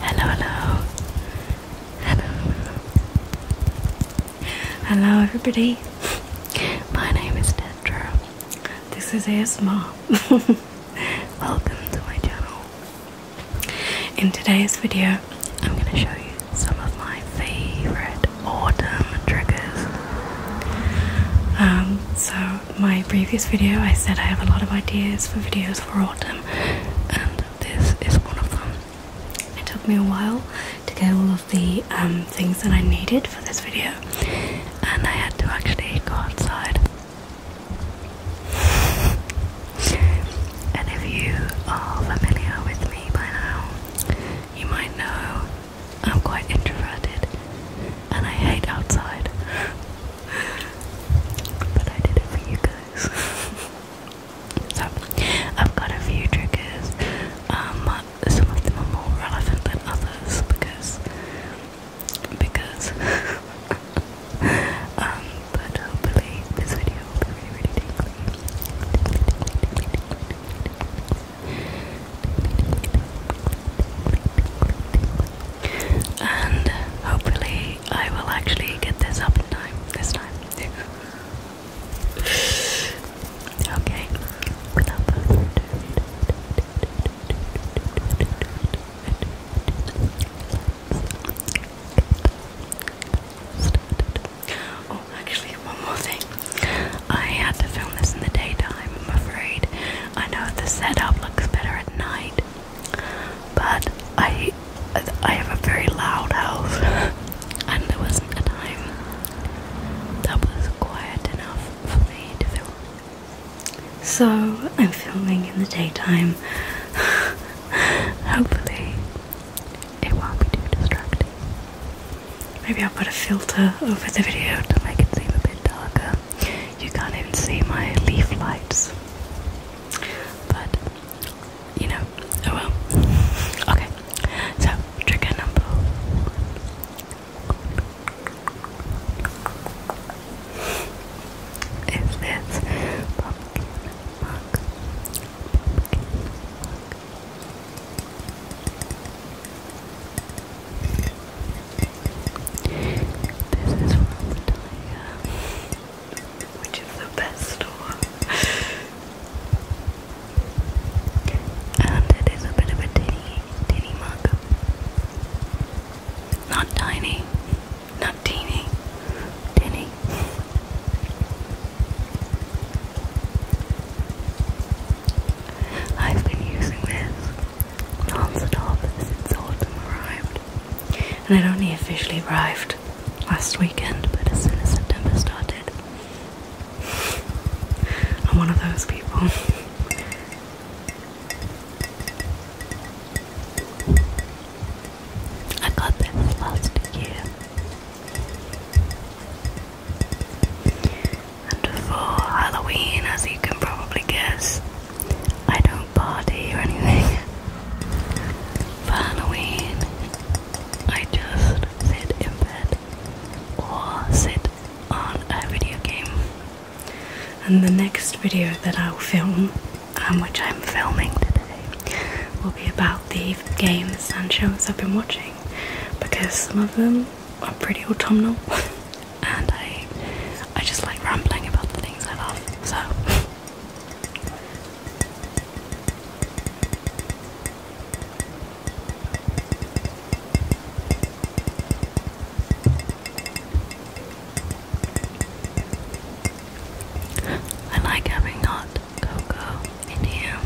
Hello, hello, hello, hello, everybody. My name is Tetra. This is ASMR. Welcome to my channel. In today's video, I'm going to show you some of my favorite autumn triggers. Um, so my previous video, I said I have a lot of ideas for videos for autumn, and this is one of them. It took me a while to get all of the um, things that I needed for this video, and I had to actually go outside. And if you are familiar with me by now, you might know I'm quite introverted and I hate outside. but I did it for you guys. so, I've got a few triggers. Um, some of them are more relevant than others because. Because. Um, but hopefully this video will be really, really tingly. And hopefully, I will actually get this up in time this time. okay, without further ado. Oh, actually, one more thing. I had to film this in the daytime, I'm afraid. I know the setup looks better at night, but I I have a very loud house, and there wasn't a time that was quiet enough for me to film. So I'm filming in the daytime. Hopefully, it won't be too distracting. Maybe I'll put a filter over the video to make it seem a bit darker you can't even see my leaf lights. But you know, oh well. Okay, so trigger number is this this is from Daya, which is the best store. and it is a bit of a tiny, tiny mug. Not tiny, not teeny, tinny. I've been using this non-stop since autumn arrived. And it only officially arrived last weekend, but as soon as September started, I'm one of those people. I got this last year. And for Halloween, as you can probably guess, I don't party or anything. Halloween, I just sit in bed or sit on a video game. And the next video that I'll film, um, which I'm filming today, will be about the games and shows I've been watching because some of them I'm pretty autumnal, and I I just like rambling about the things I love. So. I like having hot cocoa in here.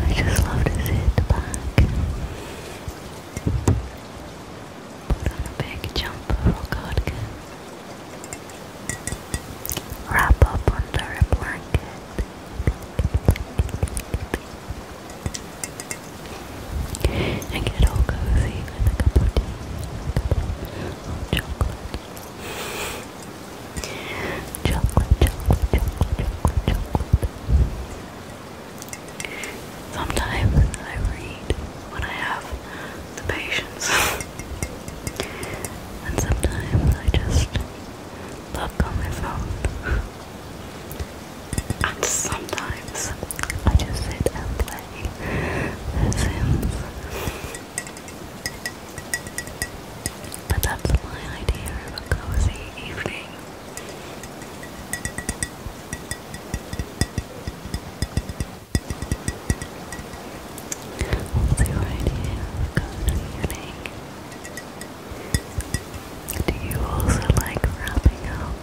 I just love to sit back put on a big jumper for cardigan wrap up under a blanket and get all cozy with a cup of tea Chocolate, chocolate, chocolate, chocolate, chocolate. Sometimes I read when I have the patience, and sometimes I just look on my phone. And sometimes I just sit and play The Sims. But that's my idea of a cozy evening. What's idea of a cozy evening? Do you also like wrapping up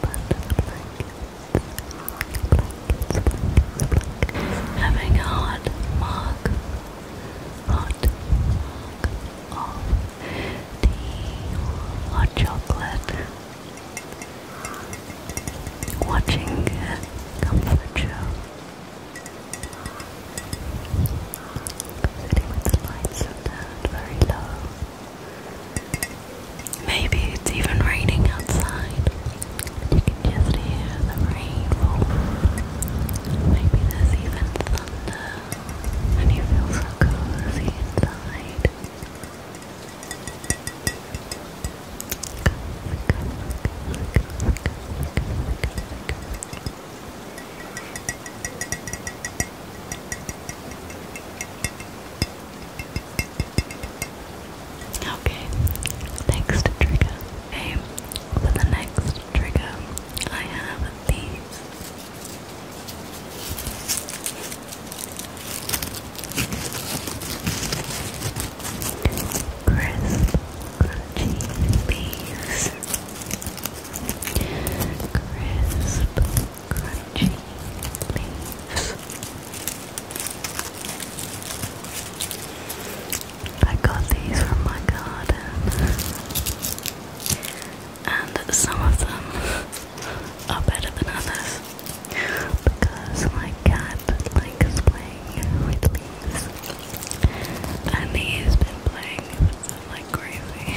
Having hot mug, hot mug, of the hot chocolate, watching a comfort show, sitting with the lights down very low. Maybe it's even raining outside. You can just hear the rain Maybe there's even thunder and you feel so cozy inside. Okay, next trigger. Okay, for the next trigger, I have the Crisp, crunchy leaves. Crisp, crunchy leaves. I got these from my garden and some of them are better than others because my cat likes playing with leaves and he's been playing like crazy.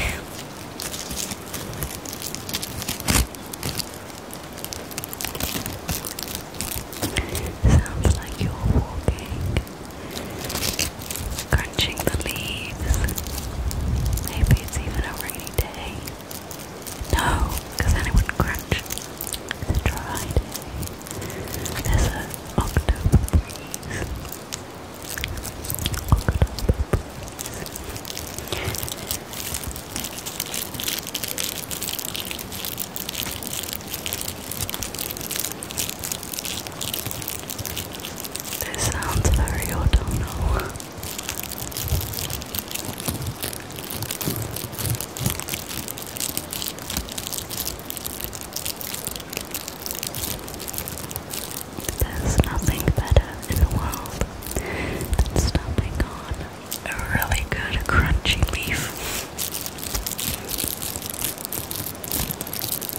Sounds like you're walking crunching the leaves. Maybe it's even a rainy day. No, because then it would crunch. It's There's an October breeze. This sounds very autumnal. There's nothing better in the world than stopping on a really good crunchy beef.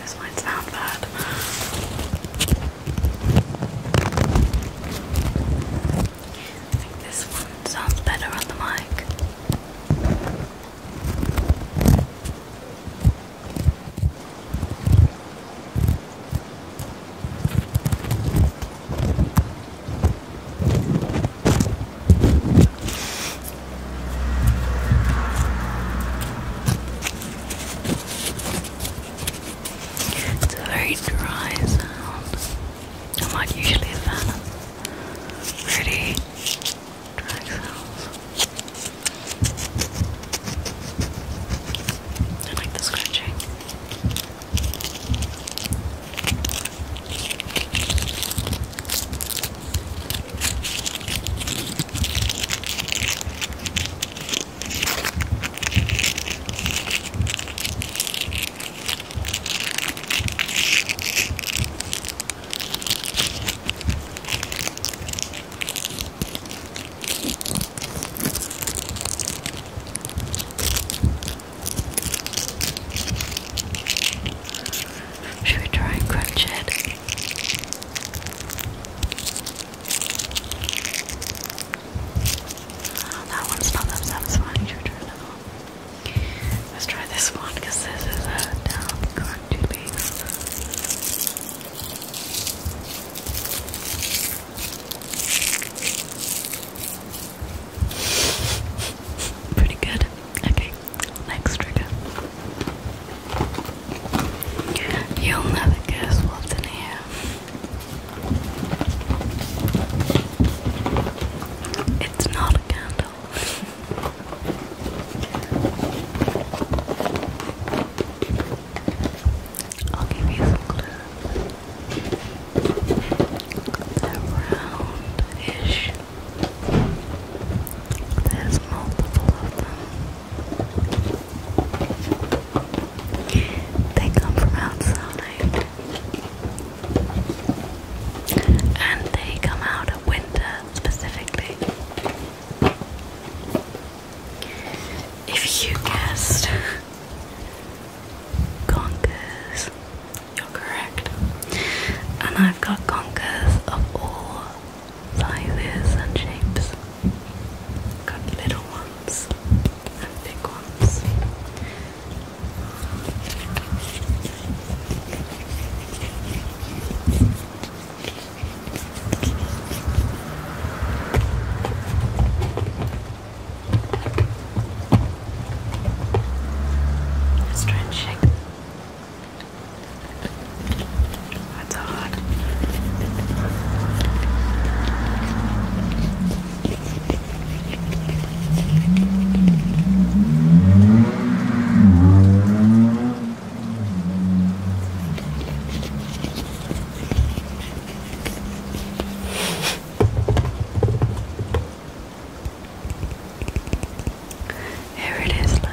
This mine's not bad. I think this one sounds better on the mic. It's a very dry sound. I'm not usually a fan pretty dry sounds. I like the scratching. Should we try and crunch it? Oh, that one's not that satisfying, Let's try this one, because this is a down crunchy piece. Pretty good. Okay, next trigger. You'll never guess what's in here. It's not a candle. I'll give you some clues. They're round There's multiple of them. They come from outside and they come out of winter specifically. If you guessed conkers, you're correct. And I've got conkers of all sizes and shapes. Got little ones and big ones. let that's hot. Here it is, look.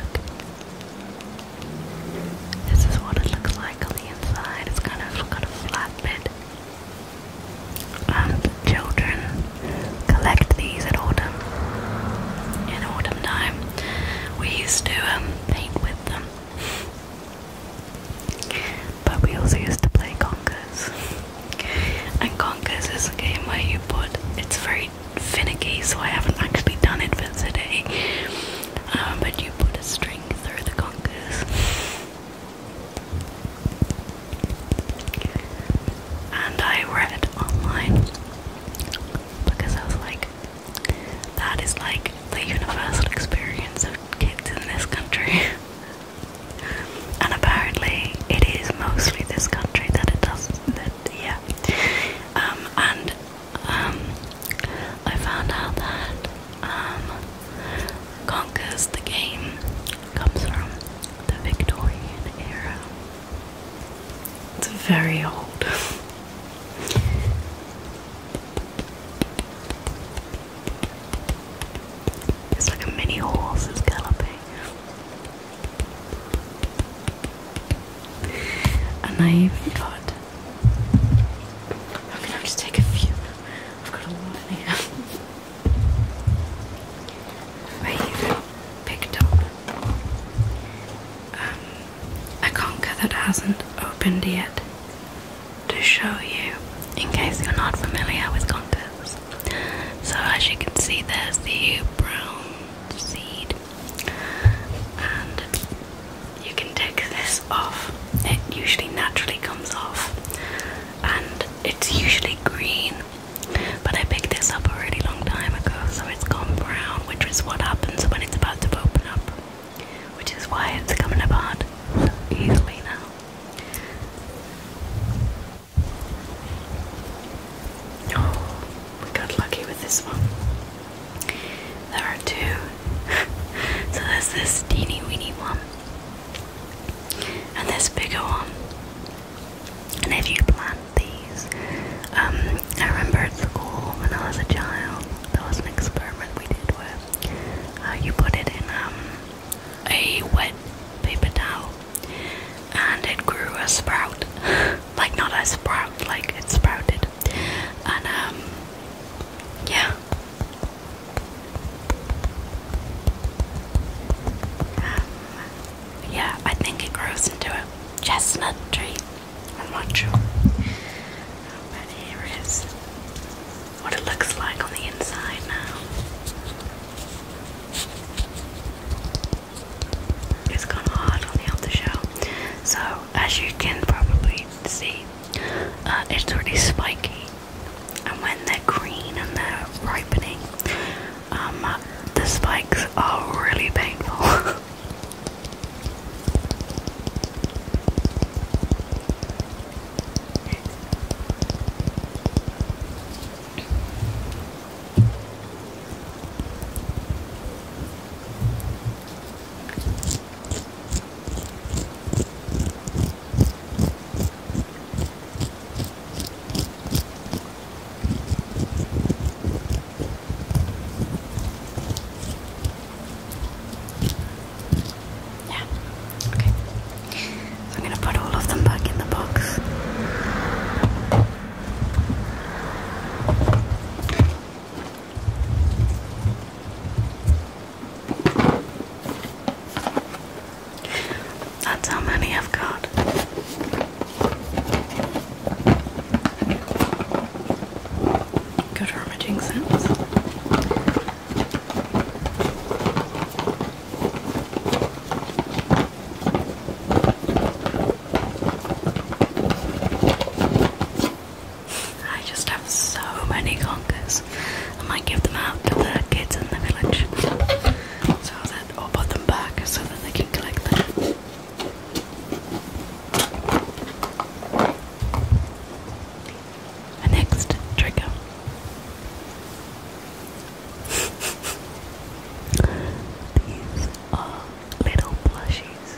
This is what it looks like on the inside. It's kind of got a flat lid. And children collect these in autumn. In autumn time, we used to um, paint with them, but we also used to play Conkers. And Conkers is a game where you put. It's very finicky, so I haven't actually done it for today. Um, but you put a string through the conkers. And I read online because I was like, that is like the universal experience of kids in this country. and apparently, it is mostly this country that it does. That, yeah. Um, and um, I found out that um, the game comes from the Victorian era. It's very old. It's like a mini horse is galloping. And I've got. I'm gonna just take a few. I've got a lot in here. I even picked up. Um, a conker that hasn't opened yet to show you in case you're not familiar with conkers. So, as you can see, there's the brown seed and you can take this off. It usually naturally comes off, and it's usually green. But I picked this up a really long time ago, so it's gone brown, which is what happens when it's about to open up, which is why it's coming apart so easily now. Oh, we got lucky with this one. There are two. so there's this teeny weeny one and this bigger one. And if you plant these, um, I remember at school when I was a child, there was an experiment we did where uh, you put it in um, a wet paper towel and it grew a sprout. like, not a sprout, like it sprouted, and um, yeah um, yeah I think it grows into a chestnut tree I'm not sure here is what it looks like on the inside now it's gone hard on the outer shell so as you can probably see uh, it's really spiky and when they're green and they're ripening um, uh, the spikes are really painful yeah. Okay. I'm going to put all of them back in the box. That's how many I've got. Good rummaging sense. I just have so many conkers. I might give them out to the kids in the village. So I'll put them back so that they can collect them. The next trigger. These are little plushies.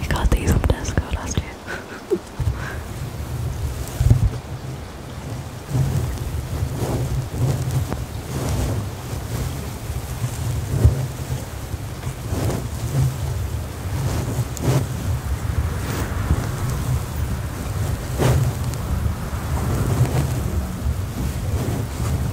We got these from Tesco last year.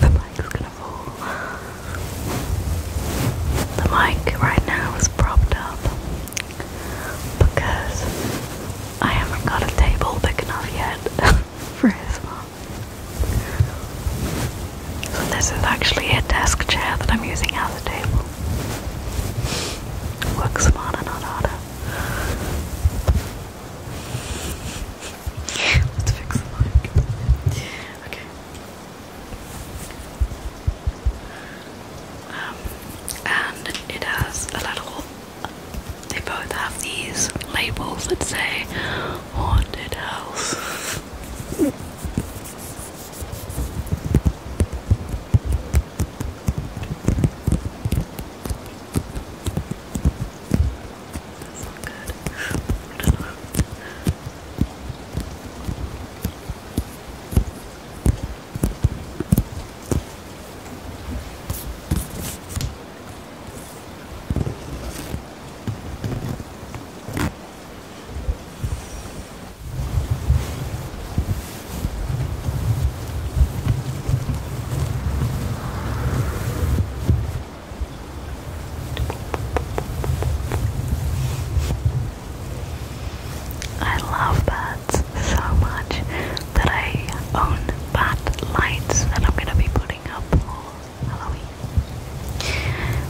the mic's gonna fall. The mic right now is propped up because I haven't got a table big enough yet for his mom. And this is actually a desk chair that I'm using as a table. Work smarter, not harder. Let's fix the mic. Okay. Um, and it has a little. They both have these labels that say haunted house. So good. I don't know. I love birds so much that I own bat lights that I'm going to be putting up all Halloween.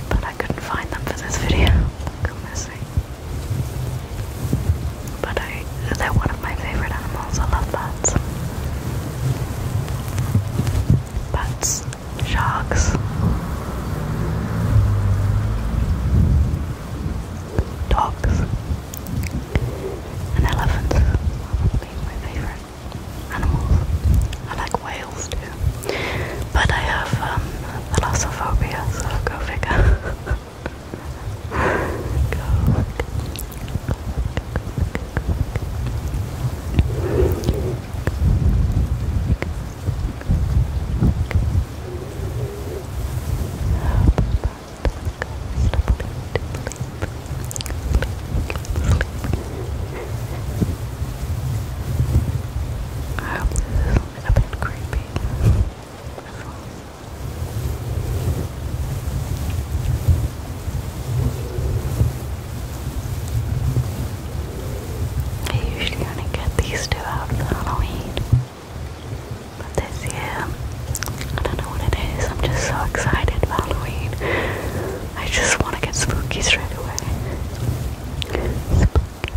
But I couldn't find them for this video. But I they're one of my favourite animals. I love bats. Bats, sharks, dogs, and elephants. Probably my favourite animals. I like whales. But I have um, so go figure. I a bit creepy. I usually only get these two out for Halloween. But this year, I don't know what it is, I'm just so excited for Halloween. I just want to get spooky straight away. Okay.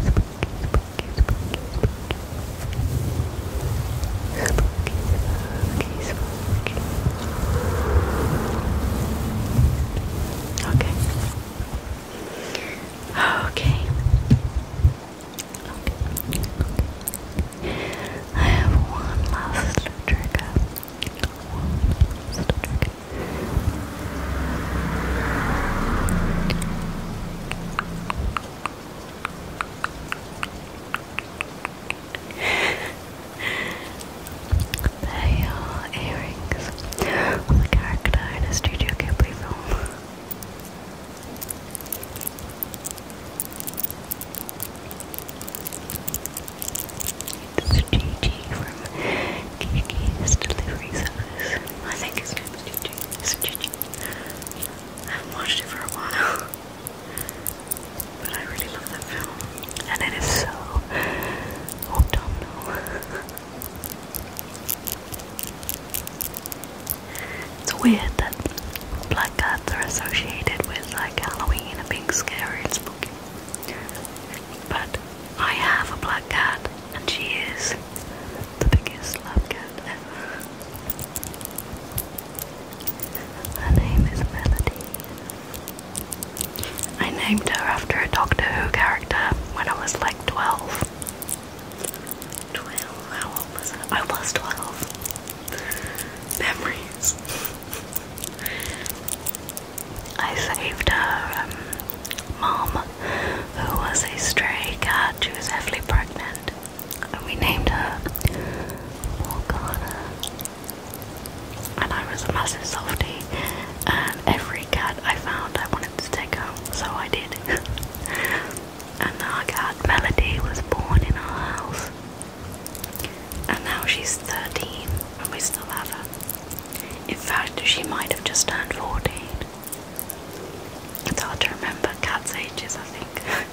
Okay. Okay. I have one last trigger. One last trigger they are earrings on the character in a Studio Ghibli film. It's Gigi from Kiki's Delivery Service. I think It's Gigi. I have watched it for a while. But I really love that film. And it is so autumnal. It's weird that black cats are associated with like Halloween and being scary and spooky. But I have a black cat, and she is the biggest lab cat ever. Her name is Melody. I named her after a Doctor Who character when I was like 12. 12? How old was I? I was 12. Memories. I saved her um, mom, who was a stray cat. She was heavily pregnant, and we named her Morgana. And I was a massive softie, and every cat I found I wanted to take home, so I did. and our cat Melody was born in our house, and now she's 13, and we still have her. In fact, she might have just turned 14. It's hard to remember cats' ages, I think.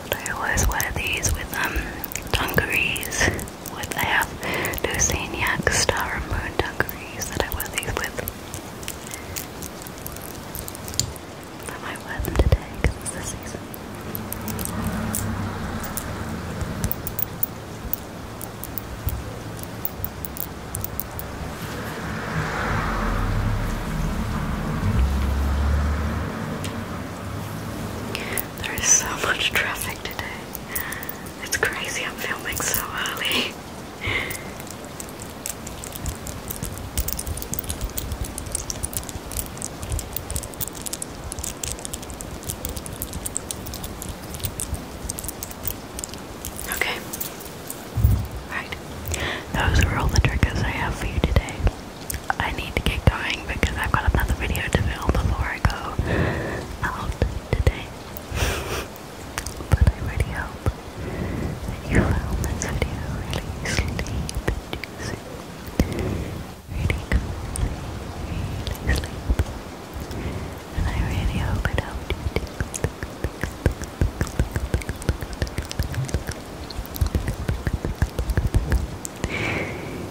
But I always wear these with um, dungarees with. I have Star and Moon dungarees that I wear these with. I might wear today because the season. There is so much traffic today. It's crazy I'm filming so early. Okay. Right. Those are all the triggers I have for you today. I need to get going because I've got another video to film before I go out today but I really hope that you found this video really sleepy Really cozy, really sleepy. And I really hope it helped you too.